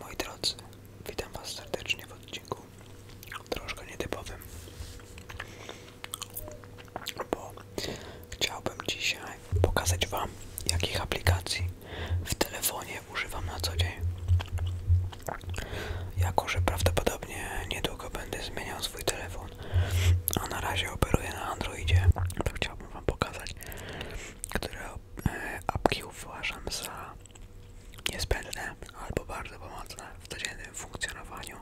Moi drodzy, witam Was serdecznie w odcinku troszkę nietypowym, bo chciałbym dzisiaj pokazać Wam, jakich aplikacji w telefonie używam na co dzień. Jako, że prawdopodobnie niedługo będę zmieniał swój telefon, a na razie operuję na Androidzie, to chciałbym Wam pokazać, które e, apki uważam za niezbędne albo bardzo pomocne w codziennym funkcjonowaniu.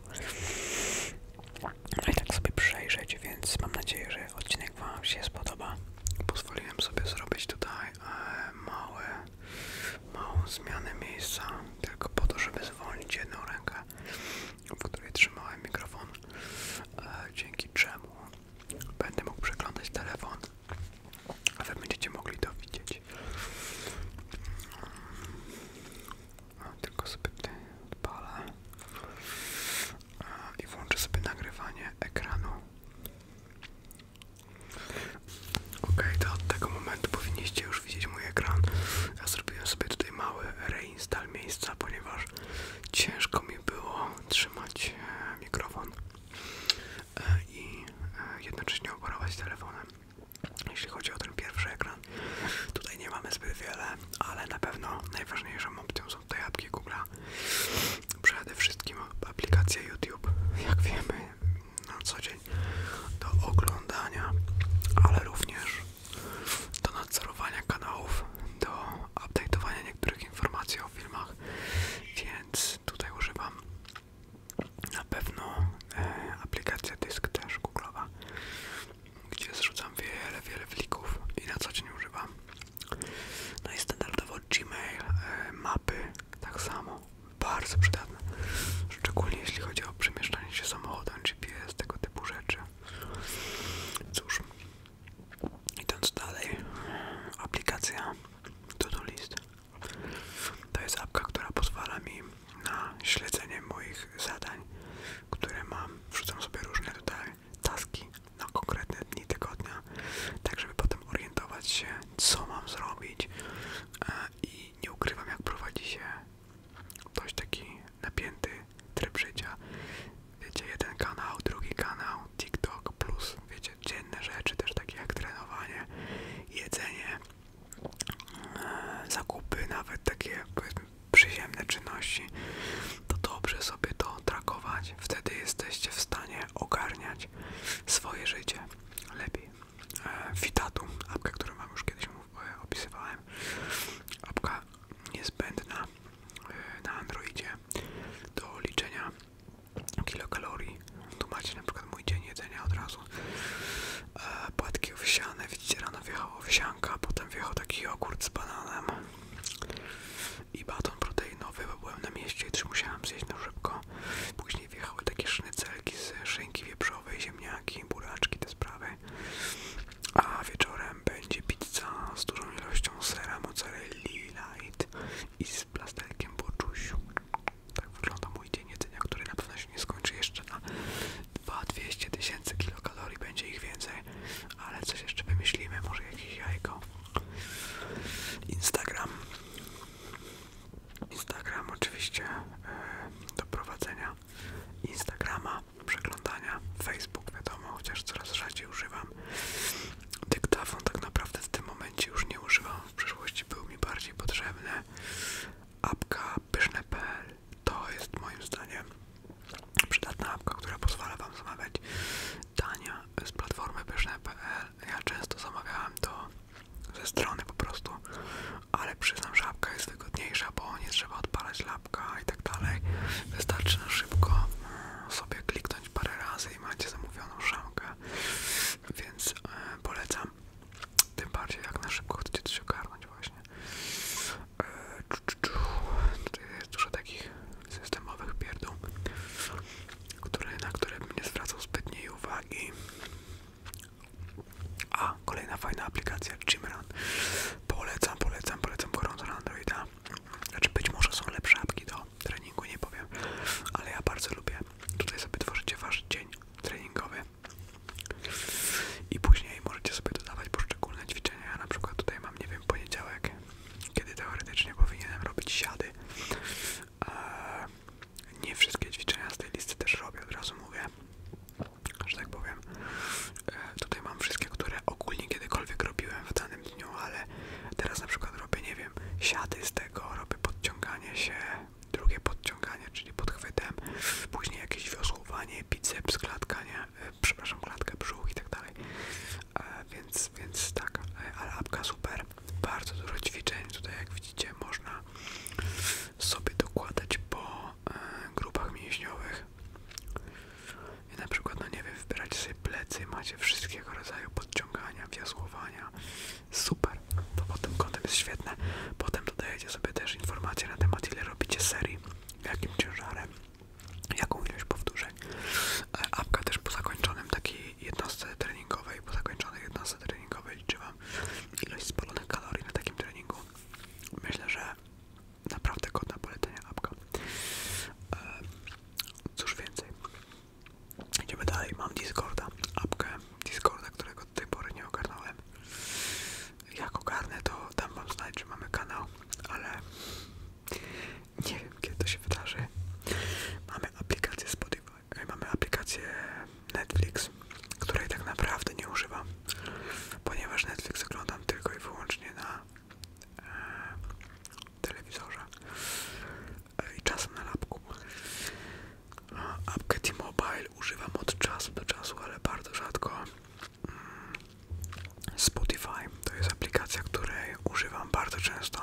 No i tak sobie przejrzeć, więc mam nadzieję, że odcinek Wam się spodoba. Pozwoliłem sobie zrobić tutaj e, małe, małą zmianę miejsca, tylko po to, żeby zwolnić jedną rękę, w której trzymałem mikrofon, e, dzięki czemu będę mógł przeglądać telefon a wy będziecie mogli to widzieć. A, tylko sobie tutaj odpalę i włączę sobie nagrywanie ekranu. Ok, to od tego momentu powinniście już widzieć mój ekran. Ja zrobiłem sobie tutaj mały reinstall miejsca, ponieważ ciężko mi było trzymać e, mikrofon E, i e, jednocześnie operować telefonem. Jeśli chodzi o ten pierwszy ekran, tutaj nie mamy zbyt wiele, ale na pewno najważniejszą opcją są te apki Google. Przede wszystkim aplikacja YouTube, jak wiemy na co dzień do oglądania, ale również do nadzorowania kanałów, do update'owania niektórych informacji o filmach, więc tutaj używam na pewno e, aplikacja dysk też Googlea, gdzie zrzucam wiele, wiele plików i na co dzień używam. No i standardowo Gmail, e, mapy, tak samo, bardzo przydatne, szczególnie jeśli chodzi o przemieszczanie się samochodem, GPS, tego typu rzeczy. Cóż, Idąc dalej, aplikacja To List. To jest apka, która pozwala mi na śledzenie moich zadań, które mam. Wrzucam sobie różne tutaj taski na konkretne dni tygodnia, tak żeby potem orientować się, co mam zrobić. E, I nie ukrywam, jak prowadzi się dość taki napięty tryb życia. Wiecie, jeden kanał, drugi kanał, TikTok plus, wiecie, dzienne rzeczy też takie jak trenowanie, jedzenie, e, zakupy, nawet takie powiedzmy przyziemne czynności, to dobrze sobie to trakować. Wtedy jesteście w stanie ogarniać swoje życie lepiej. E, Fitatum, apka, którą Wam już kiedyś e, opisywałem, apka niezbędna na Androidzie do liczenia kilokalorii. Tu macie na przykład mój dzień jedzenia od razu. E, płatki owsiane, widzicie, rano wjechała owsianka, potem wjechał taki jogurt z bananem i baton proteinowy, bo byłem na mieście i też musiałem zjeść na szybko. Później wjechały takie sznycelki z szynki wieprzowej, ziemniaki, buraczki, te sprawy. A wieczorem będzie pizza z dużą ilością sera, mozzarelli, light i z z plasterkiem poczusiu. Tak wygląda mój dzień jedzenia, który na pewno się nie skończy jeszcze na 200 tysięcy kilokalorii, będzie ich więcej, ale coś jeszcze wymyślimy, może jakieś jajko. Instagram. Instagram oczywiście yy, do prowadzenia Instagrama, przeglądania, Facebook wiadomo, chociaż coraz rzadziej używam dyktafon tak naprawdę w tym momencie już nie używam, w przyszłości był mi bardziej potrzebny. Apka pyszne.pl to jest moim zdaniem przydatna apka, która pozwala Wam zamawiać dania z platformy pyszne.pl. Ja często zamawiałem to ze strony po prostu, ale przyznam, że apka jest wygodniejsza, bo nie trzeba odpalać lapka i tak dalej. Wystarczy na szybko sobie kliknąć parę razy i macie zamówioną szamkę, więc e, polecam. Tym bardziej jak na szybko chcecie coś ogarnąć właśnie. E, Tutaj jest dużo takich systemowych pierdół, które, na które bym nie zwracał zbytniej uwagi. A, kolejna fajna aplikacja Gymrun. Polecam, polecam, polecam gorąco na Androida. Znaczy być może są lepsze apki do treningu nie powiem, ale ja bardzo lubię. Tutaj sobie tworzycie wasz dzień treningowy i później możecie sobie dodawać poszczególne ćwiczenia. Ja na przykład tutaj mam, nie wiem, poniedziałek, kiedy teoretycznie powinienem robić siady. nie wszystkie ćwiczenia z tej listy też robię, od razu mówię, że tak powiem. E, tutaj mam wszystkie, które ogólnie kiedykolwiek robiłem w danym dniu, ale teraz na przykład robię, nie wiem, siady z tego, robię podciąganie się, drugie podciąganie, czyli podchwytem, później jakieś wiosłowanie, biceps, klatka, e, przepraszam, klatkę, brzuch i tak dalej. E, więc, więc tak, e, ale apka super, bardzo dużo ćwiczeń, tutaj jak widzicie można sobie dokładać po grupach mięśniowych. I na przykład, no nie wiem, wybieracie sobie plecy, macie wszystkiego rodzaju podciągania, wiosłowania. Super, to po tym kątem jest świetne. Potem dodajecie sobie też informacje na temat, ile robicie serii, jakim ciężarem, jaką ilość powtórzeń. E, apka też po zakończonym takiej jednostce treningowej, po zakończonej jednostce treningowej liczy Wam ilość spalonych kalorii na takim treningu. Myślę, że naprawdę godna polecenia apka. E, cóż więcej, Idziemy dalej, mam Discorda, apkę Discorda, którego do tej pory nie ogarnąłem. Jak ogarnę, to tam wam znać, że mamy kanał, ale nie wiem kiedy to się wydarzy. Mamy aplikację Spotify, mamy aplikację Netflix, której tak naprawdę nie używam, ponieważ Netflix oglądam tylko i wyłącznie na e, telewizorze e, i czasem na lapku. No, apkę T-Mobile używam od czasu do czasu, ale bardzo rzadko. Mm, Spotify to jest aplikacja, której używam bardzo często,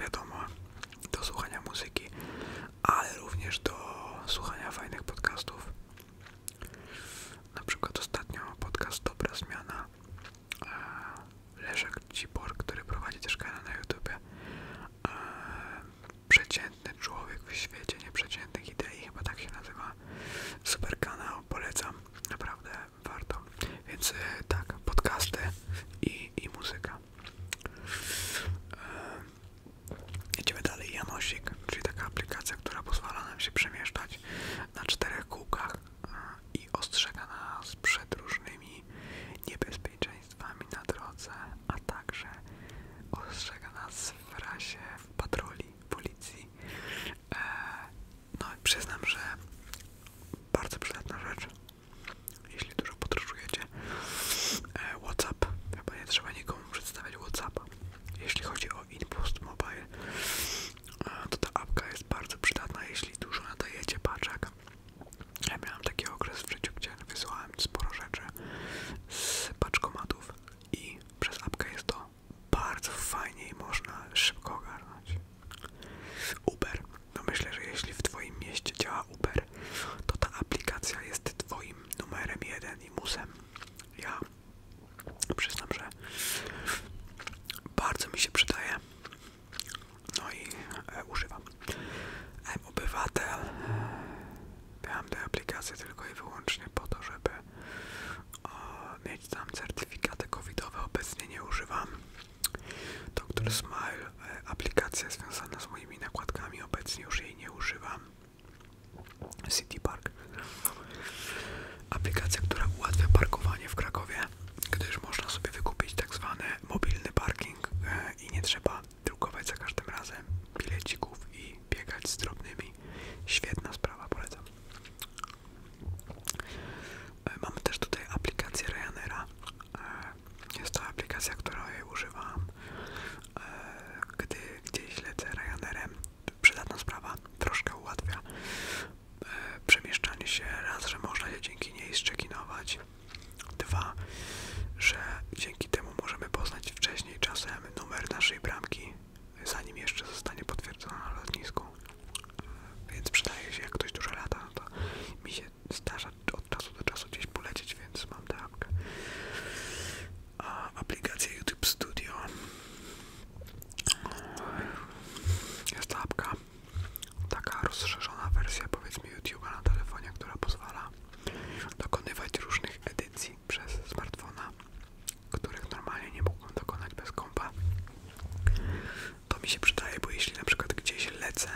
wiadomo, do słuchania muzyki, ale również do słuchania fajnych podcastów. Na przykład ostatnio podcast Dobra Zmiana Leszek Cibor, który prowadzi też kanał na YouTubie. E, przeciętny człowiek w świecie nieprzeciętnych idei, chyba tak się nazywa. Super kanał, polecam, naprawdę warto. Więc e, tak, podcasty i, i muzyka. E, idziemy dalej. Janosik, czyli taka aplikacja, która pozwala nam się przemieszczać na czterech kółkach i ostrzega nas przed różnymi niebezpieczeństwami na drodze, a także ostrzega nas w rasie, w patroli policji. E, no i przyznam, że bardzo przydatna rzecz, jeśli dużo podróżujecie. E, WhatsApp, chyba nie trzeba nikomu przedstawiać WhatsAppa. Jeśli chodzi o Inpost Mobile, E, to ta apka jest bardzo przydatna, jeśli dużo nadajecie paczek. Ja miałem taki okres w życiu, gdzie wysłałem sporo rzeczy z paczkomatów i przez apkę jest to bardzo fajnie i można szybko ogarnąć. Uber. No myślę, że jeśli w Twoim mieście działa Uber, to ta aplikacja jest Twoim numerem jeden i musem. Ja przyznam, że bardzo mi się przydaje. No i e, używam. E, obywatel. Miałem tę aplikację tylko i wyłącznie po to, żeby e, mieć tam certyfikaty covidowe. Obecnie nie używam. Doktor Smile, e, aplikacja związana z moimi nakładkami. Obecnie już jej nie używam. City Park. Aplikacja, która ułatwia parkowanie w Krakowie, gdyż można sobie wykupić tak zwany mobilny parking e, i nie trzeba drukować za każdym razem bilecików i biegać z drobnymi. Świetna sprawa, polecam. E, mamy też tutaj aplikację Ryanaira. E, jest to aplikacja, której używam, gdy gdzieś lecę Ryanairem. Przydatna sprawa, troszkę ułatwia E, przemieszczanie się raz, że można je dzięki niej szczekinować, dwa, że dzięki temu możemy poznać wcześniej czasem numer naszej bramki, zanim jeszcze zostanie potwierdzona na lotnisku. E, więc przydaje się, jak ktoś dużo lata, to mi się zdarza od czasu do czasu gdzieś polecieć, więc mam tę A aplikacja YouTube Studio. Jest to taka rozszerzona wersja powiedzmy YouTube'a na telefonie, która pozwala dokonywać różnych edycji przez smartfona, których normalnie nie mógłbym dokonać bez kąpa. To mi się przydaje, bo jeśli na przykład gdzieś lecę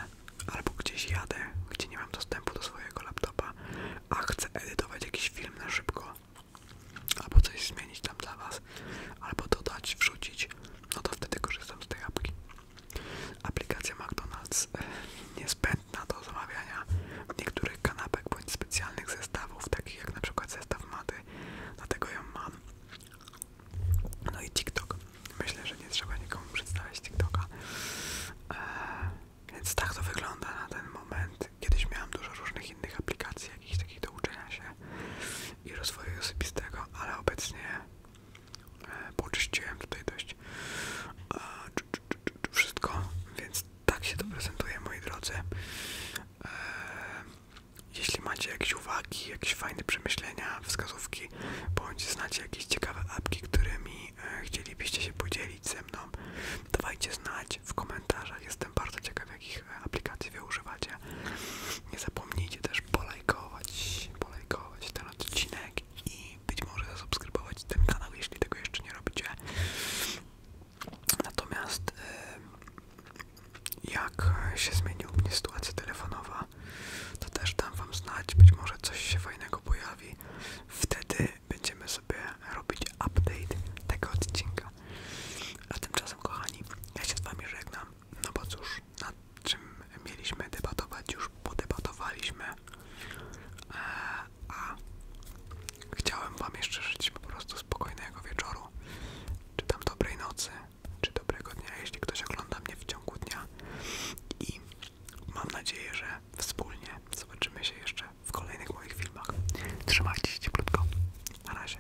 albo gdzieś jadę, gdzie nie mam dostępu do swojego laptopa, a chcę edytować jakiś film na szybko, albo coś zmienić tam dla Was, albo dodać, wrzucić, no to wtedy korzystam z tej apki. Aplikacja McDonald's e, niezbędna do zamawiania niektórych kanapek bądź specjalnych zestawów, takich jak na przykład zestaw maty, dlatego ją mam. No i TikTok. Myślę, że nie trzeba nikomu przedstawiać TikToka. E, więc tak to wygląda na ten moment. Kiedyś miałam dużo różnych innych aplikacji, jakichś takich do uczenia się, i rozwoju osobistego, ale obecnie e, poczyściłem tutaj dość e, wszystko, więc tak się to prezentuje, moi drodzy. E, jeśli macie jakieś uwagi, jakieś fajne przemyślenia, wskazówki, bądź znacie jakieś ciekawe apki, którymi chcielibyście się podzielić ze mną, dawajcie znać w komentarzach. Jestem bardzo ciekaw, jakich aplikacji wy używacie. Nie zapomnijcie też polajkować, polajkować ten odcinek i być może zasubskrybować ten kanał, jeśli tego jeszcze nie robicie. Natomiast y, jak się zmieniła u mnie sytuacja telefonowa, to też dam wam znać, być może coś się fajnego pojawi. Wtedy będziemy sobie robić update tego odcinka. A tymczasem kochani, ja się z wami żegnam no bo cóż, nad czym mieliśmy debatować, już podebatowaliśmy, e, a chciałem Wam jeszcze życzyć po prostu spokojnego wieczoru, czy tam dobrej nocy, czy dobrego dnia, jeśli ktoś ogląda mnie w ciągu dnia i mam nadzieję, że wspólnie zobaczymy się jeszcze w kolejnych moich filmach. Trzymajcie się cieplutko. Na razie.